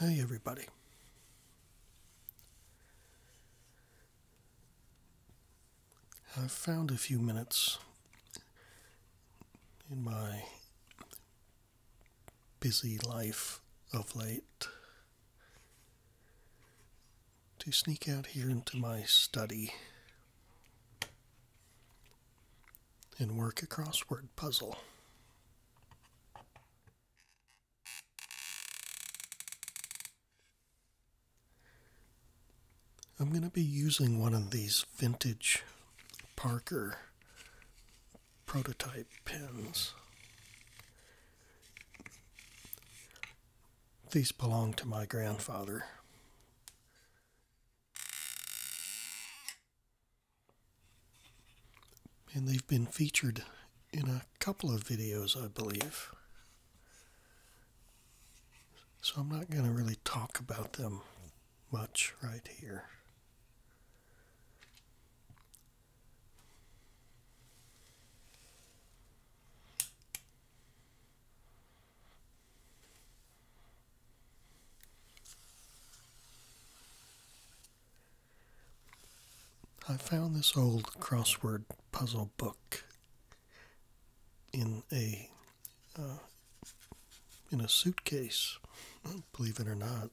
Hey, everybody. I've found a few minutes in my busy life of late to sneak out here into my study and work a crossword puzzle. I'm going to be using one of these vintage Parker prototype pins. These belong to my grandfather. And they've been featured in a couple of videos, I believe. So I'm not going to really talk about them much right here. I found this old crossword puzzle book in a uh, in a suitcase, believe it or not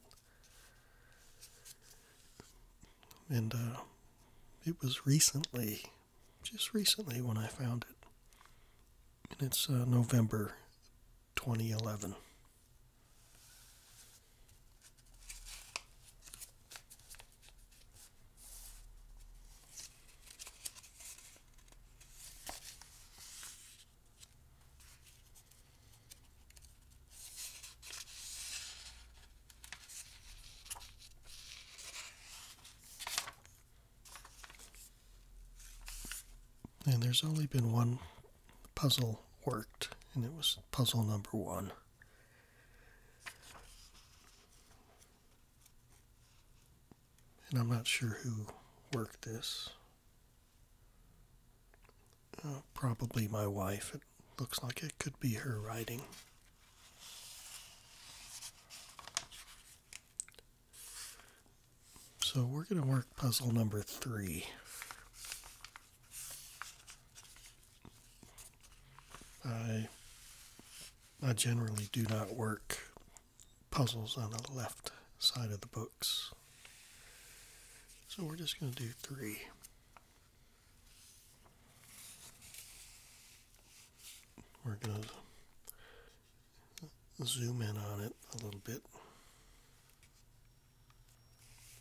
and uh, it was recently, just recently, when I found it, and it's uh, November 2011. And there's only been one puzzle worked, and it was puzzle number one. And I'm not sure who worked this. Uh, probably my wife. It looks like it could be her writing. So we're going to work puzzle number three. I, I generally do not work puzzles on the left side of the books. So we're just going to do three. We're going to zoom in on it a little bit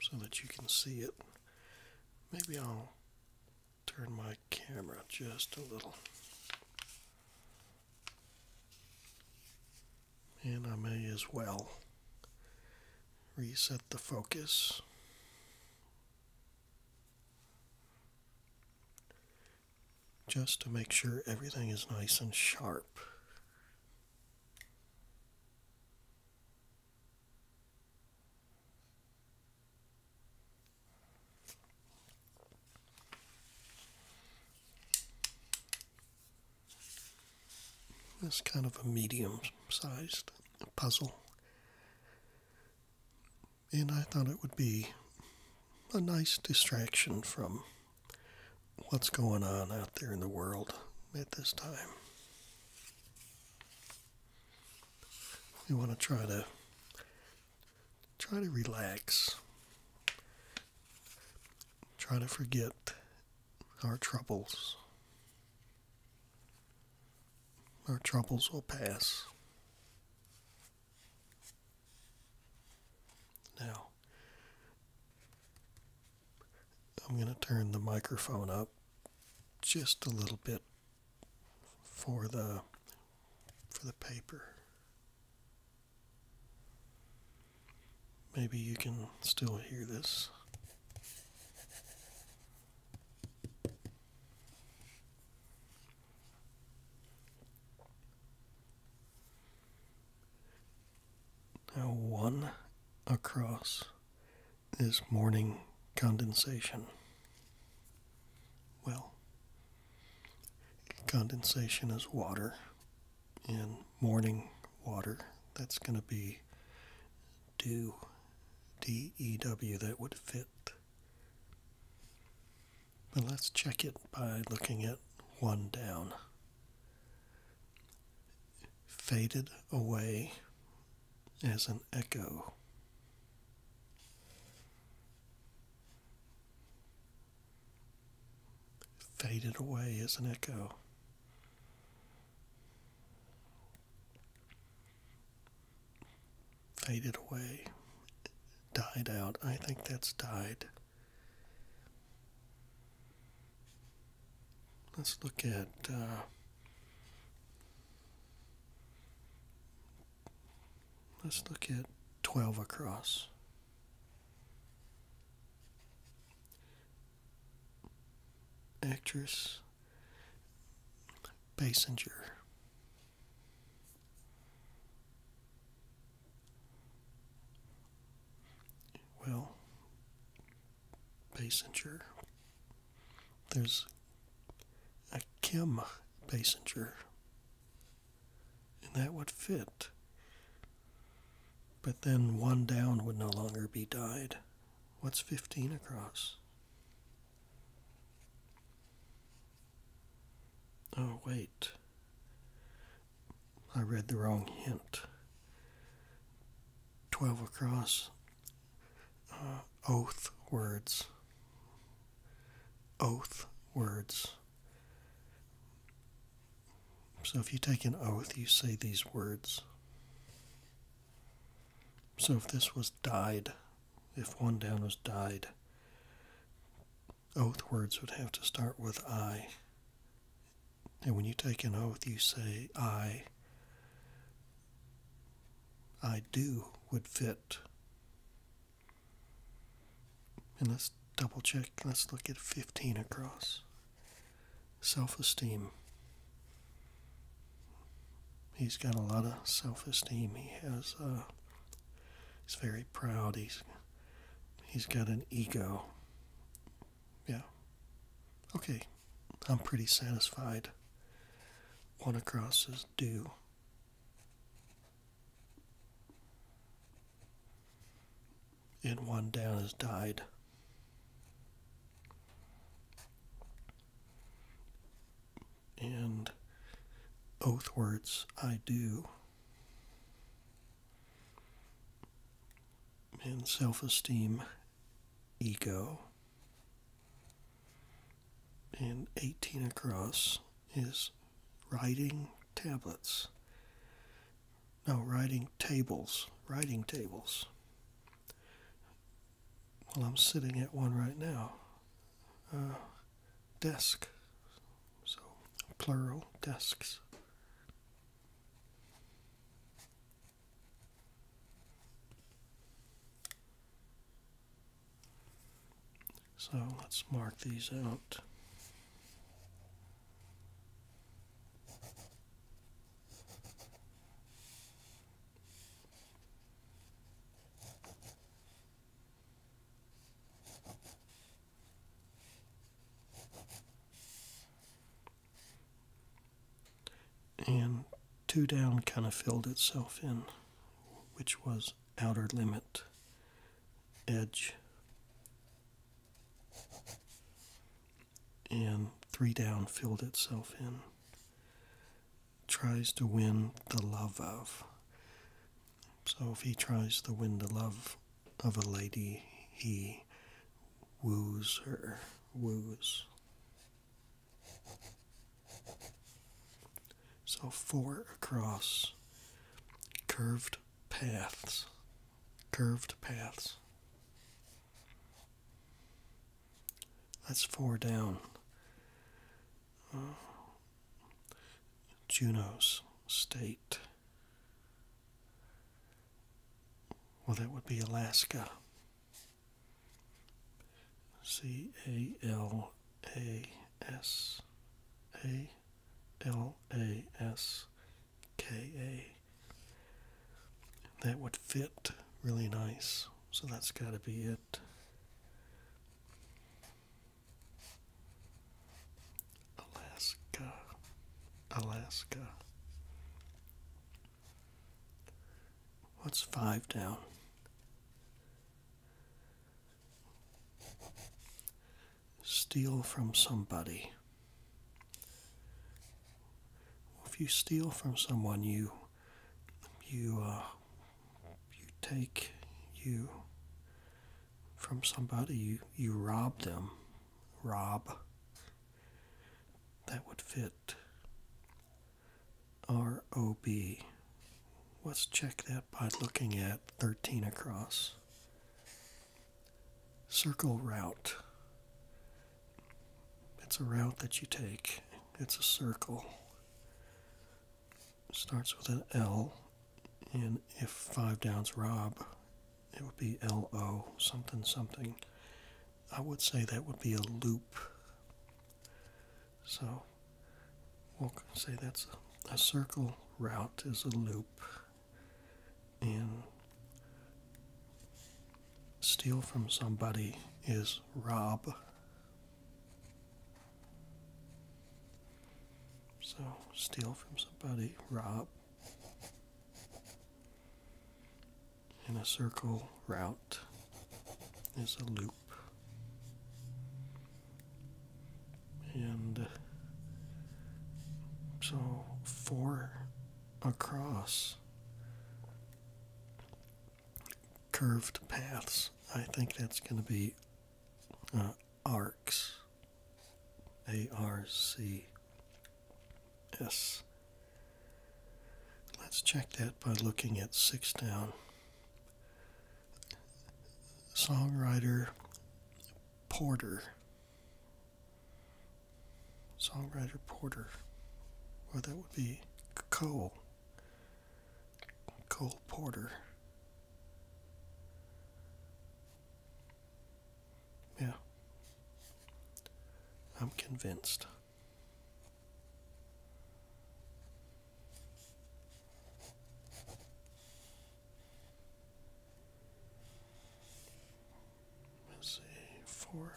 so that you can see it. Maybe I'll turn my camera just a little. And I may as well reset the focus. Just to make sure everything is nice and sharp. It's kind of a medium sized puzzle. And I thought it would be a nice distraction from what's going on out there in the world at this time. We want to try to try to relax. Try to forget our troubles. Our troubles will pass. Now, I'm going to turn the microphone up just a little bit for the for the paper. Maybe you can still hear this. Now, one across is morning condensation. Well, condensation is water, and morning water, that's going to be do DEW that would fit. But let's check it by looking at one down. Faded away as an echo. Faded away as an echo faded away, died out. I think that's died. Let's look at uh, let's look at twelve across actress Basinger. Well, Basinger. There's a Kim Basinger, and that would fit. But then one down would no longer be dyed. What's 15 across? Oh, wait. I read the wrong hint. 12 across. Uh, oath words. Oath words. So if you take an oath, you say these words. So if this was died, if one down was died, oath words would have to start with I. And when you take an oath, you say, I, I do would fit. And let's double check. Let's look at 15 across self esteem. He's got a lot of self esteem. He has, uh, he's very proud. He's, he's got an ego. Yeah. Okay. I'm pretty satisfied. One across is due. And one down is died and oath words I do, and self esteem, ego, and 18 across is writing tablets. No, writing tables, writing tables well, I'm sitting at one right now. Uh, desk. So, plural desks. So let's mark these out. And two down kind of filled itself in, which was outer limit edge and three down filled itself in. Tries to win the love of. So if he tries to win the love of a lady, he woos her, woos. So four across, curved paths, curved paths. That's four down. Uh, Junos State. Well, that would be Alaska. C A L A S A L A S K A that would fit really nice. So that's got to be it. Alaska. Alaska. What's five down? Steal from somebody. If you steal from someone, you you uh, you take you from somebody. You you rob them. Rob. That would fit. R O B. Let's check that by looking at 13 across. Circle route. It's a route that you take, it's a circle. starts with an L, and if Five Downs Rob, it would be L O something something. I would say that would be a loop. So we'll say that's a circle route is a loop. And Steal from somebody is rob. So, steal from somebody, rob. In a circle route is a loop. And so, four across curved paths. I think that's going to be uh, arcs. A R C S. Let's check that by looking at six down. Songwriter Porter songwriter Porter. Well, that would be Cole. Cole Porter. Yeah. I'm convinced let's see, four.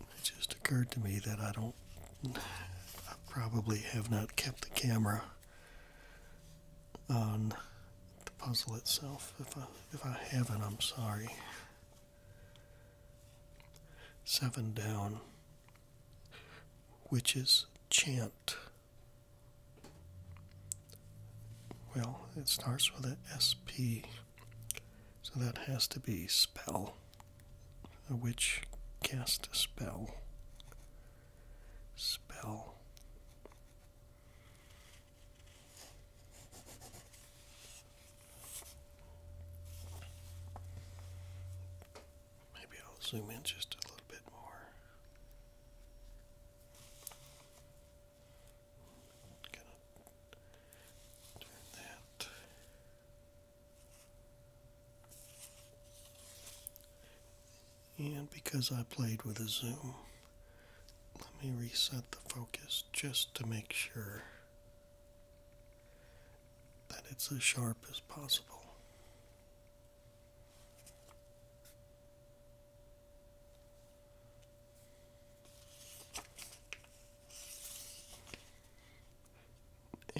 It just occurred to me that I don't, I probably have not kept the camera on the puzzle itself. If I, if I haven't, I'm sorry. Seven down. Witches chant. Well, it starts with an SP, so that has to be spell. A witch cast a spell. Spell. Maybe I'll zoom in just a little bit more. Gonna turn that. And because I played with a zoom, let me reset the focus just to make sure that it's as sharp as possible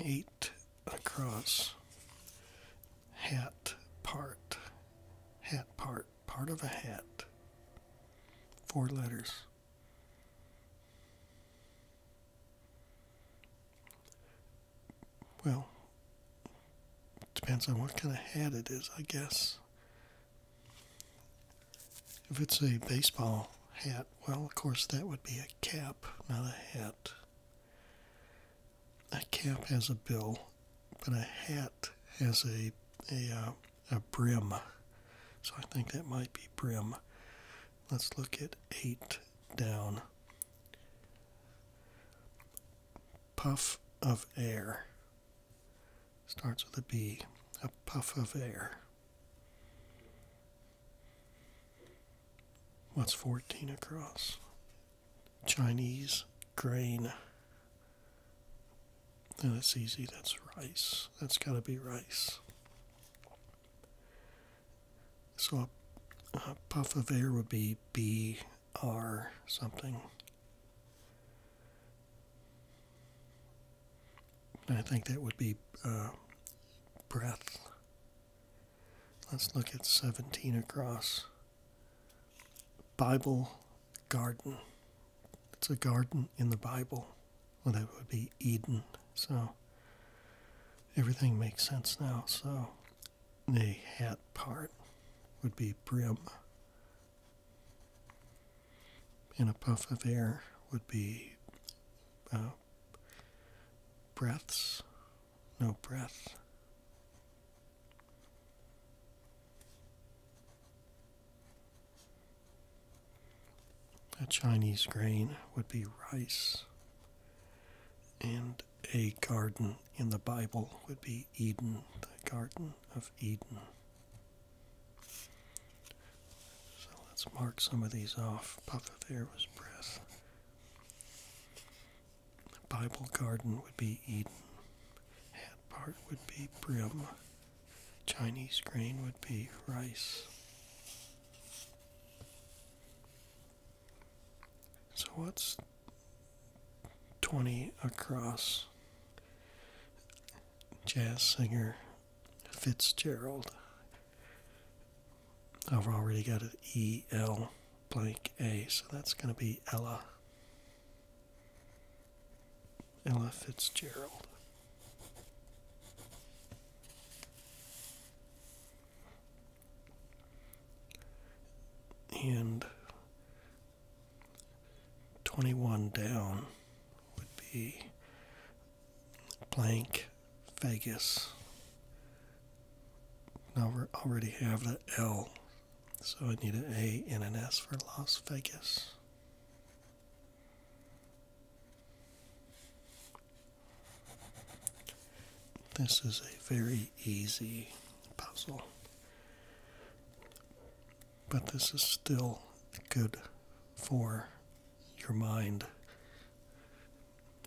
eight across hat part hat part part of a hat four letters well, depends on what kind of hat it is, I guess. If it's a baseball hat, well, of course, that would be a cap, not a hat. A cap has a bill, but a hat has a a uh, a brim. So I think that might be brim. Let's look at eight down puff of air. Starts with a B, a puff of air. What's 14 across? Chinese grain. that's easy, that's rice. That's got to be rice. So a puff of air would be B R something. I think that would be uh, breath. Let's look at 17 across. Bible garden. It's a garden in the Bible. Well, that would be Eden. So everything makes sense now. So the hat part would be brim. And a puff of air would be uh, breaths, no breath. A Chinese grain would be rice. And a garden in the Bible would be Eden, the Garden of Eden. So let's mark some of these off. Puff of air was breath. Bible garden would be Eden. Hat part would be brim. Chinese grain would be rice. So what's 20 across jazz singer Fitzgerald? I've already got an E L blank A, so that's going to be Ella. Ella Fitzgerald and 21 down would be blank Vegas. Now we already have the L, so I need an A and an S for Las Vegas. This is a very easy puzzle, but this is still good for your mind.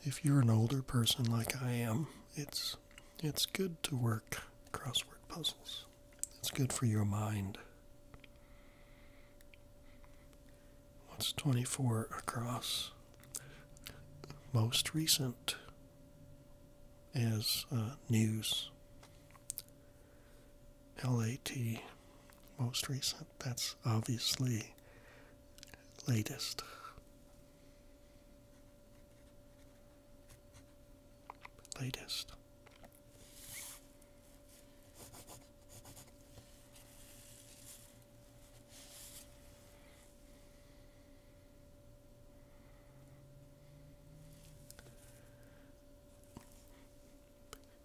If you're an older person like I am, it's it's good to work crossword puzzles. It's good for your mind. What's 24 across? Most recent as uh, news. LAT, most recent. That's obviously latest. Latest.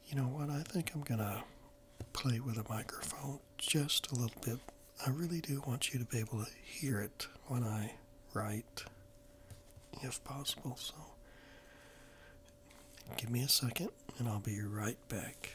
You know what? I think I'm going to play with a microphone just a little bit. I really do want you to be able to hear it when I write, if possible. So give me a second and I'll be right back.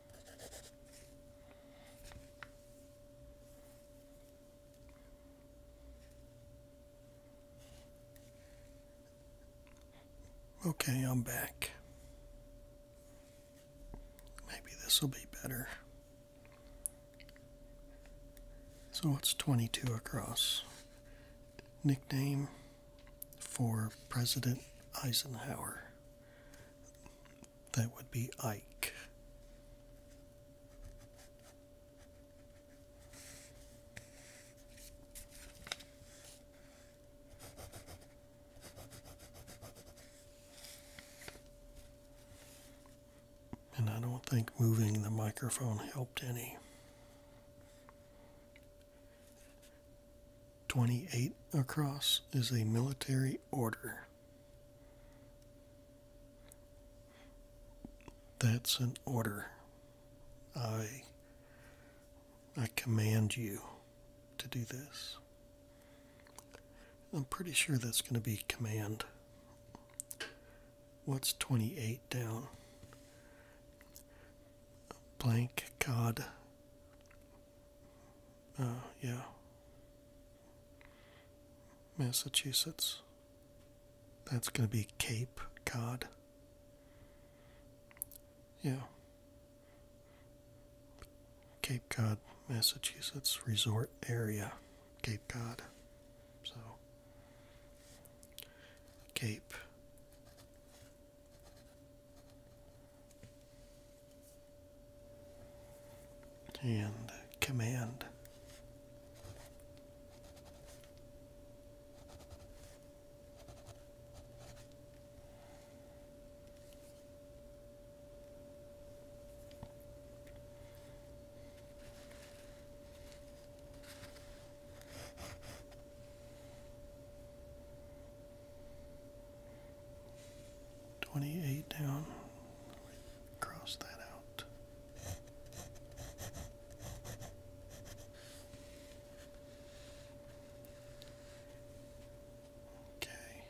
Okay, I'm back. Maybe this will be better. So what's 22 across. Nickname for President Eisenhower. That would be Ike. And I don't think moving the microphone helped any. 28 across is a military order. That's an order. I I command you to do this. I'm pretty sure that's going to be command. What's 28 down? Blank God. Uh, yeah. Massachusetts. That's going to be Cape Cod. Yeah. Cape Cod, Massachusetts resort area. Cape Cod. So, Cape and command. 28 down. Cross that out. Okay.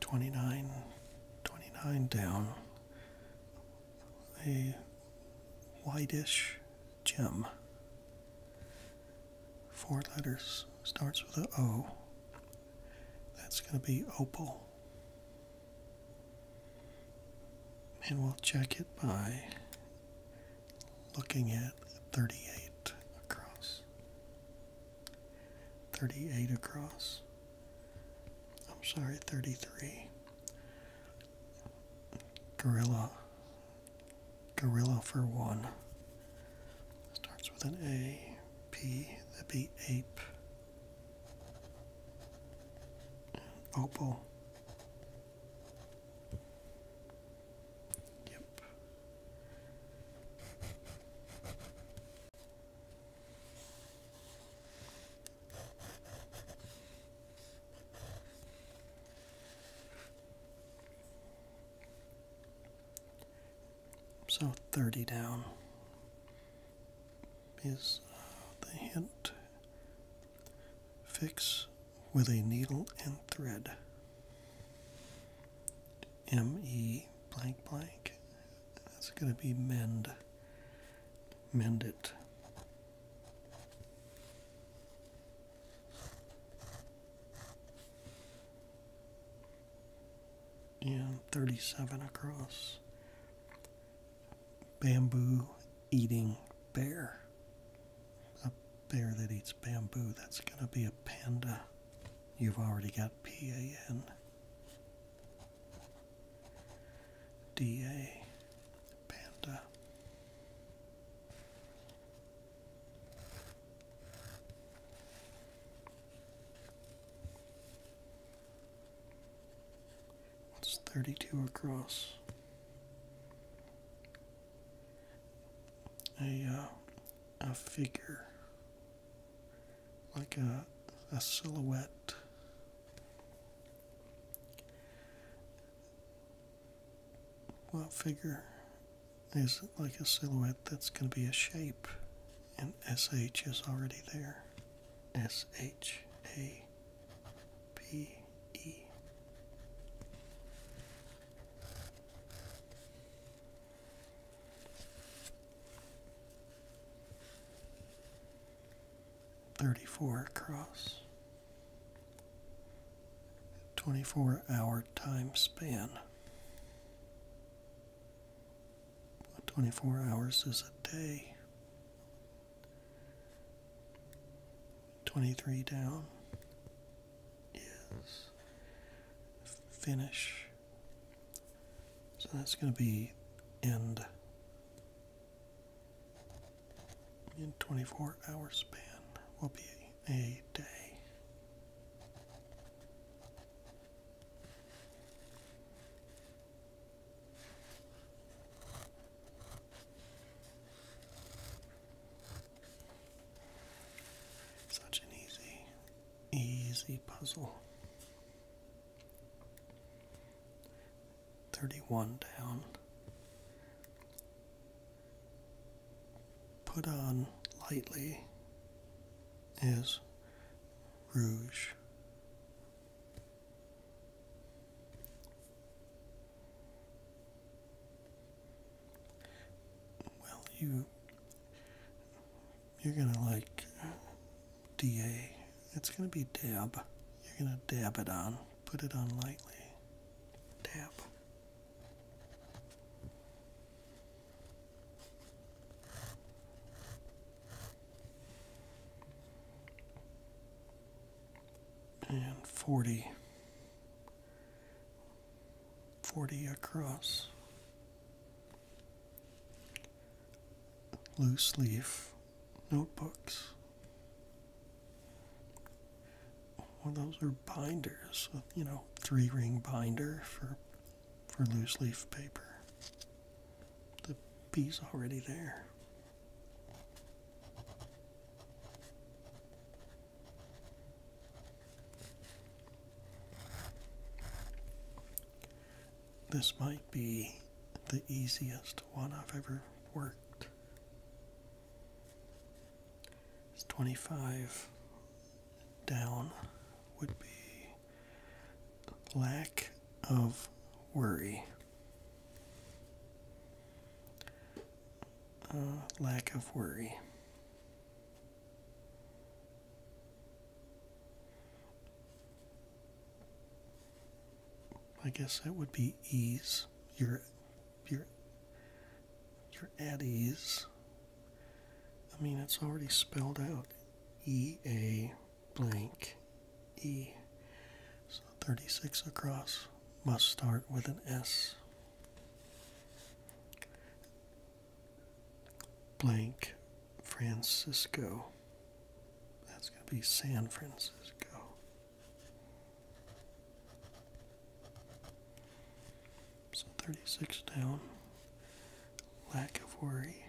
29, 29 down. A whitish gem. Four letters. Starts with an O. That's going to be opal. And we'll check it by looking at 38 across. 38 across. I'm sorry, 33. Gorilla Gorilla for one. Starts with an A, The that'd ape. opal. Yep. So 30 down is uh, the hint. Fix with a needle and thread. M-E blank blank. That's going to be mend. Mend it and 37 across. Bamboo eating bear. A bear that eats bamboo, that's going to be a panda. You've already got P A N D A, panda. It's 32 across. A, uh, a figure, like a, a silhouette. What figure is like a silhouette that's going to be a shape, and SH is already there. S H A P E. Thirty four across. 24 hour time span. 24 hours is a day. 23 down is finish. So that's going to be end in 24 hour span will be a day. Such an easy, easy puzzle. 31 down put on lightly is rouge. Well, you you're gonna like DA. It's gonna be dab. You're gonna dab it on. Put it on lightly. Dab and 40 40 across loose leaf notebooks well, those are binders, uh, you know, three ring binder for, for loose leaf paper. The bee's already there. This might be the easiest one I've ever worked. It's 25 down would be lack of worry. Uh, lack of worry. I guess that would be ease. Your your, are you I mean, it's already spelled out. E A blank E. So 36 across must start with an S. Blank Francisco. That's going to be San Francisco. 36 down. Lack of worry.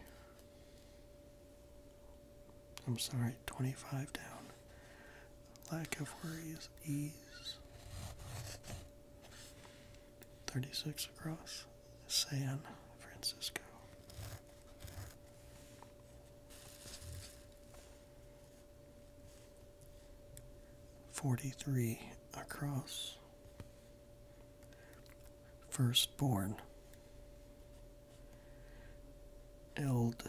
I'm sorry, 25 down. Lack of worry is ease. 36 across. San Francisco. 43 across. Firstborn. Eld.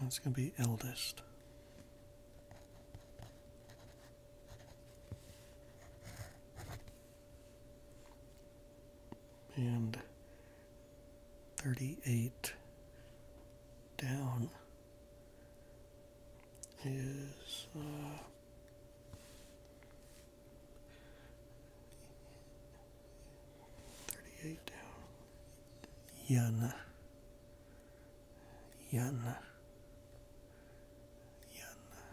That's going to be eldest. And 38 down is uh, thirty-eight down. Yana. Yana. Yana.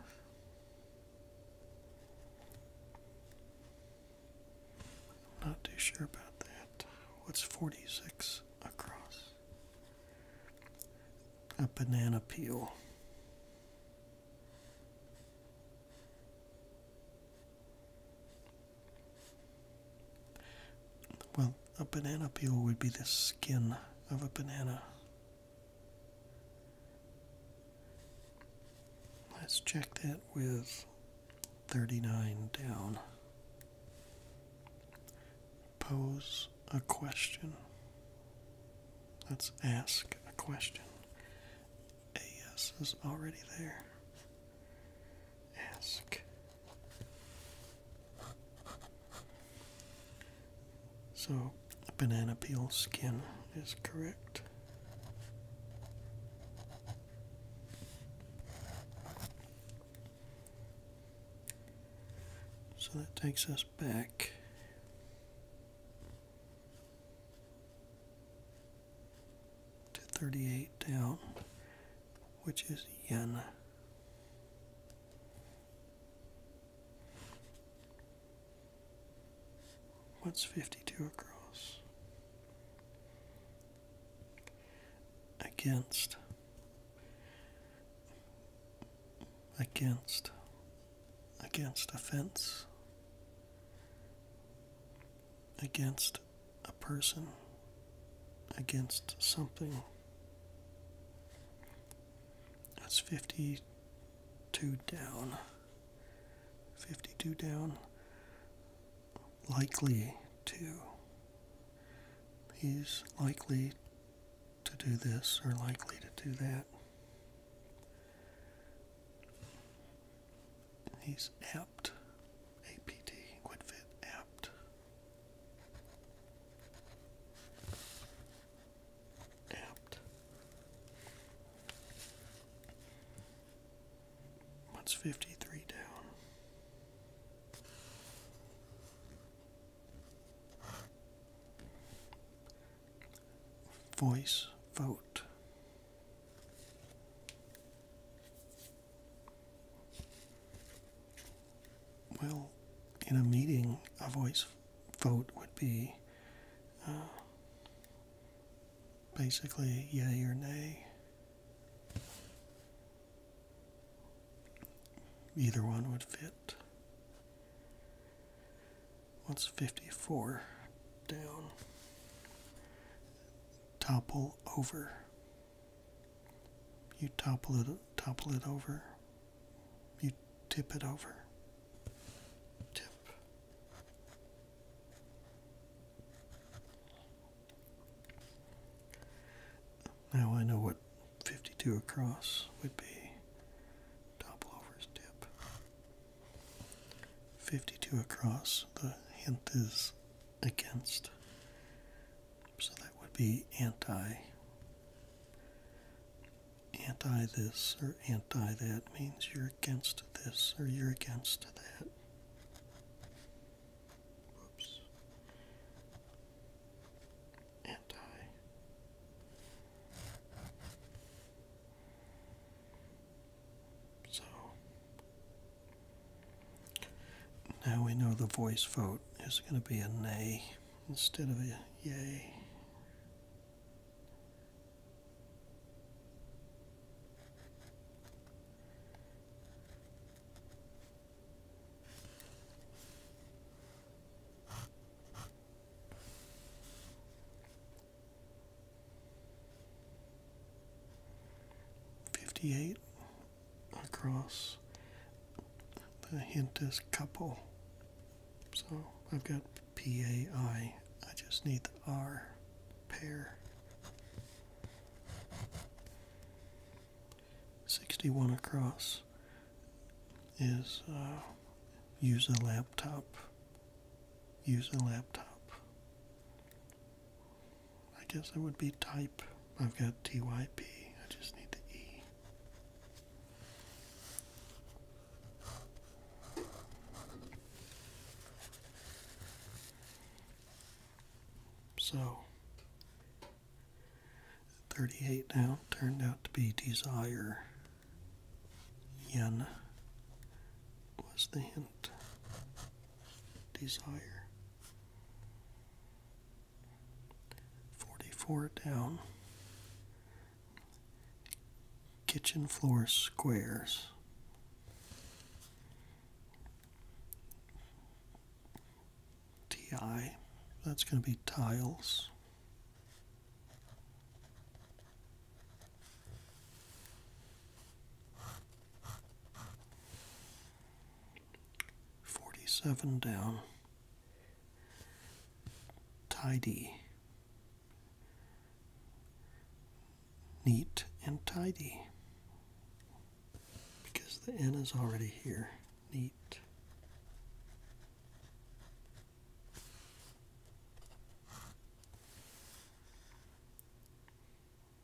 Not too sure about that. What's forty-six across? a banana peel. Well, a banana peel would be the skin of a banana. Let's check that with 39 down pose a question. Let's ask a question. A yes is already there. Ask. So, banana peel skin is correct. So that takes us back. to 38 down, which is yen. What's 52 across? against against against offense against a person against something that's 52 down 52 down likely to he's likely to do this or likely to do that. He's apt. APT, QuickFit apt. Apt. What's 53 down? Voice vote. Well, in a meeting, a voice vote would be uh, basically yay or nay. Either one would fit. What's 54 down? Topple over. You topple it, topple it over. You tip it over. Tip. Now I know what 52 across would be. Top lover's 52 across, the hint is against. So that would be anti. Anti this or anti that means you're against this or you're against that. Whoops. Anti. So now we know the voice vote is going to be a nay instead of a yay. Fifty-eight across. The hint couple. So I've got PAI. I just need the R pair. 61 across is uh, use a laptop. Use a laptop. I guess it would be type. I've got TYP. I just need the E. So, 38 now turned out to be desire. Yen was the hint. Desire. 44 down. Kitchen floor squares. DI. That's going to be tiles. Forty-seven down. Tidy. Neat and tidy. Because the N is already here neat.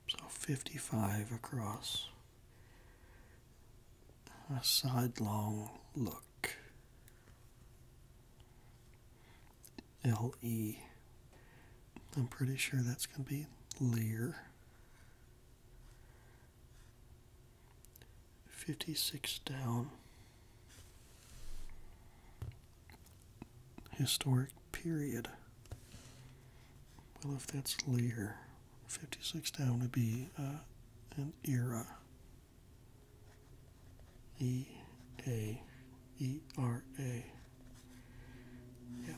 So 55 across. A sidelong look. L am pretty sure that's going to be Lear fifty six down. Historic period. Well, if that's Lear, 56 down would be uh, an era. E A E R A. Yeah.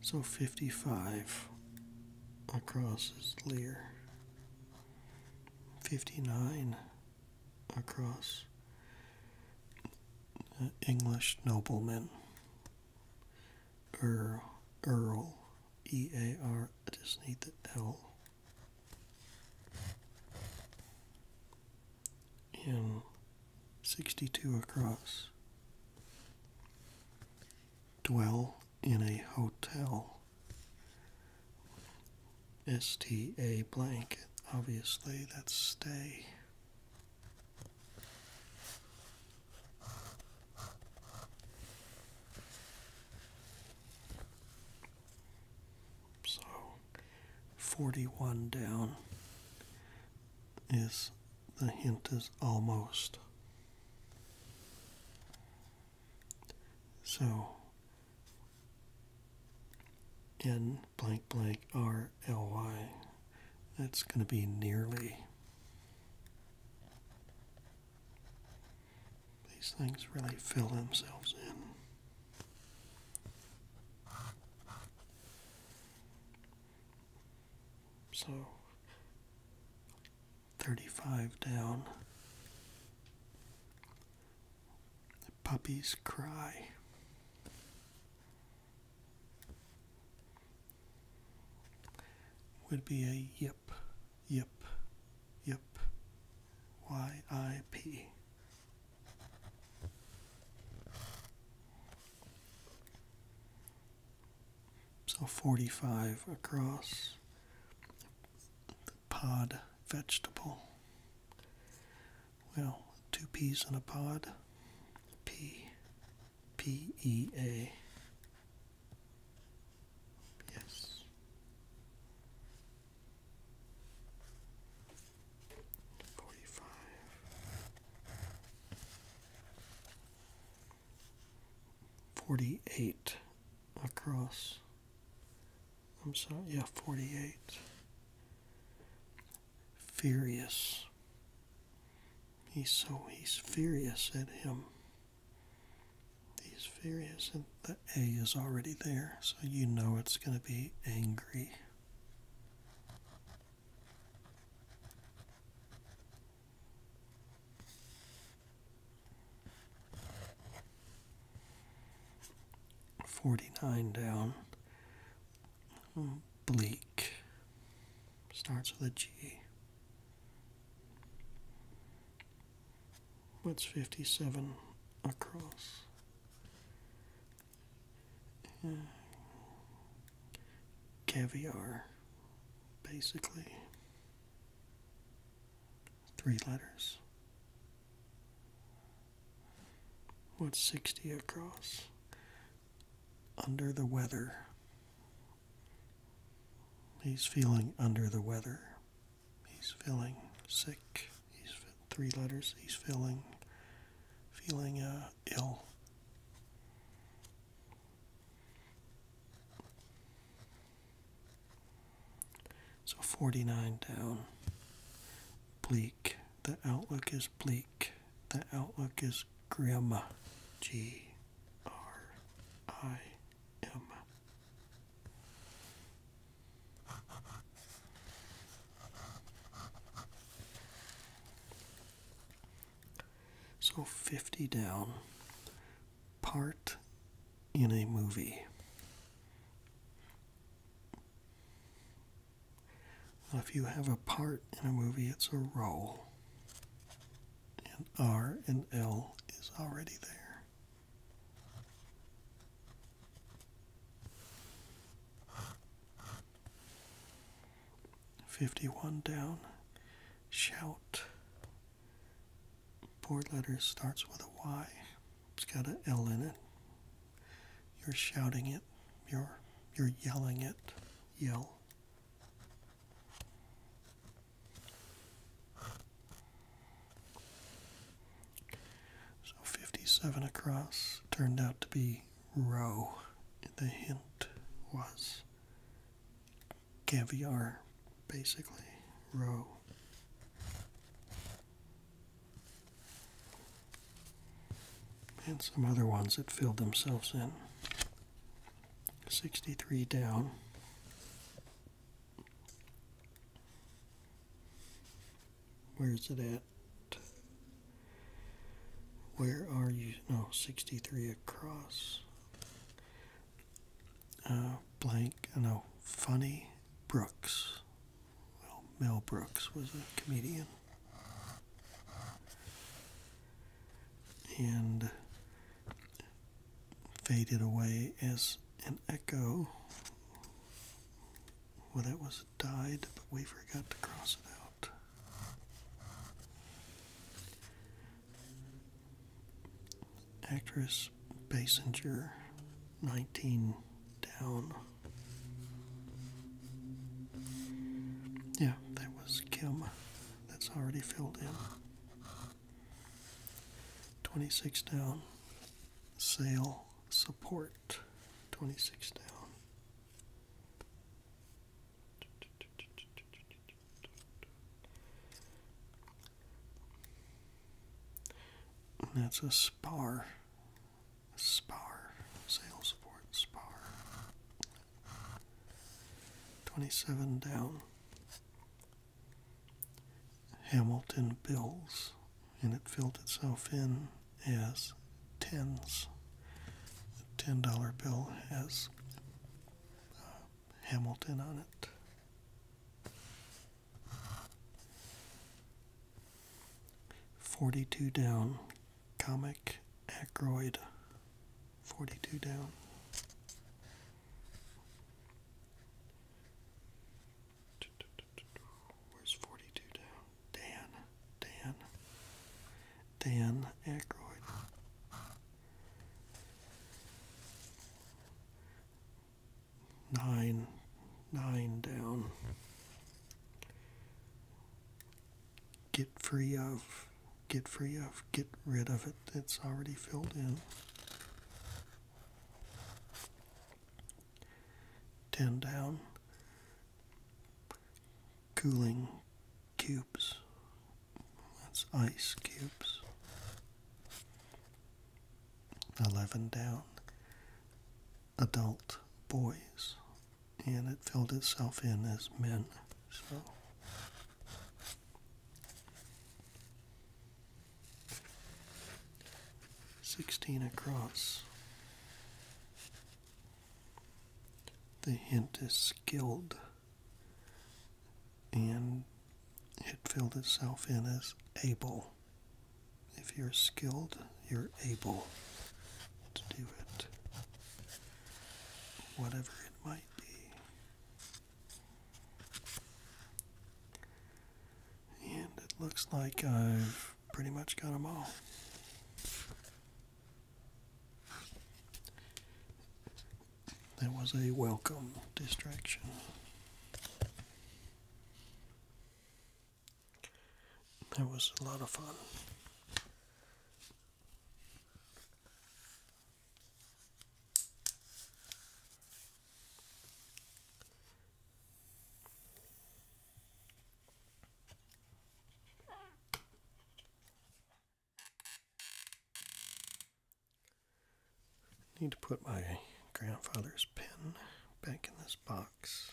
So 55 across is Lear. 59 across uh, English nobleman. Earl, Earl, E A R. I just need the L and 62 across. Dwell in a hotel. S T A blanket. Obviously, that's stay. So 41 down is the hint is almost. So N blank blank R L Y. That's going to be nearly. These things really fill themselves in. So, 35 down. The puppies cry. Would be a yip. Yip. Yip. Y I P. So 45 across pod vegetable. Well, two peas in a pod. P. P E A. Yes. Forty-five, forty-eight across. I'm sorry, yeah, forty-eight. Furious. He's so he's furious at him these various, and the A is already there, so you know it's going to be angry. Forty nine down. Hmm, bleak starts with a G. What's 57 across? Uh, caviar, basically. Three letters. What's 60 across? Under the weather. He's feeling under the weather. He's feeling sick. He's three letters. He's feeling feeling uh, ill. So 49 down. Bleak. The outlook is bleak. The outlook is grim. G R I M. So 50 down, part in a movie. if you have a part in a movie, it's a role. And R and L is already there. Fifty one down. Shout. Board letter starts with a Y. It's got an L in it. You're shouting it. You're you're yelling it. Yell. So 57 across turned out to be roe. The hint was caviar, basically, roe. And some other ones that filled themselves in. 63 down. Where is it at? Where are you? No, 63 across. Uh, blank, uh, no, Funny Brooks. Well, Mel Brooks was a comedian. And faded away as and echo. Well, that was died, but we forgot to cross it out. Actress Basinger, 19 down. Yeah, that was Kim. That's already filled in. 26 down. Sail support 26 down. that's a spar. Spar. sail support. Spar. 27 down. Hamilton Bills, and it filled itself in as tens. The $10 bill has uh, Hamilton on it. Forty-two down, comic Ackroyd. Forty-two down. Where's 42 down? Dan. Dan. Dan Aykroyd. Nine. Nine down. Get free of. Get free of. Get rid of it. It's already filled in. 10 down cooling cubes that's ice cubes 11 down adult boys and it filled itself in as men so 16 across. The hint is skilled, and it filled itself in as able. If you're skilled, you're able to do it, whatever it might be. And it looks like I've pretty much got them all. That was a welcome distraction. That was a lot of fun. Need to put my grandfather's pen back in this box.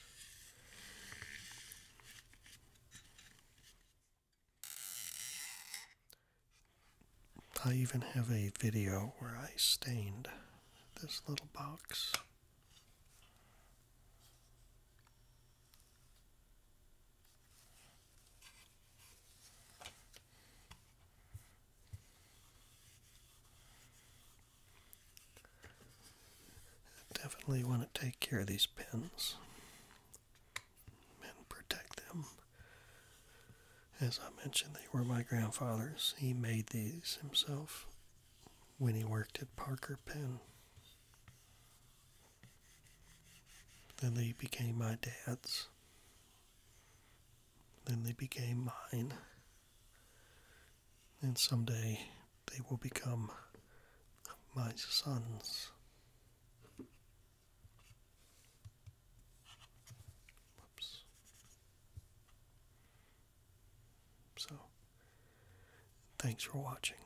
I even have a video where I stained this little box. Definitely want to take care of these pins and protect them as I mentioned, they were my grandfather's. He made these himself when he worked at Parker Pen. Then they became my dad's. Then they became mine. And someday they will become my sons. Whoops. So, thanks for watching.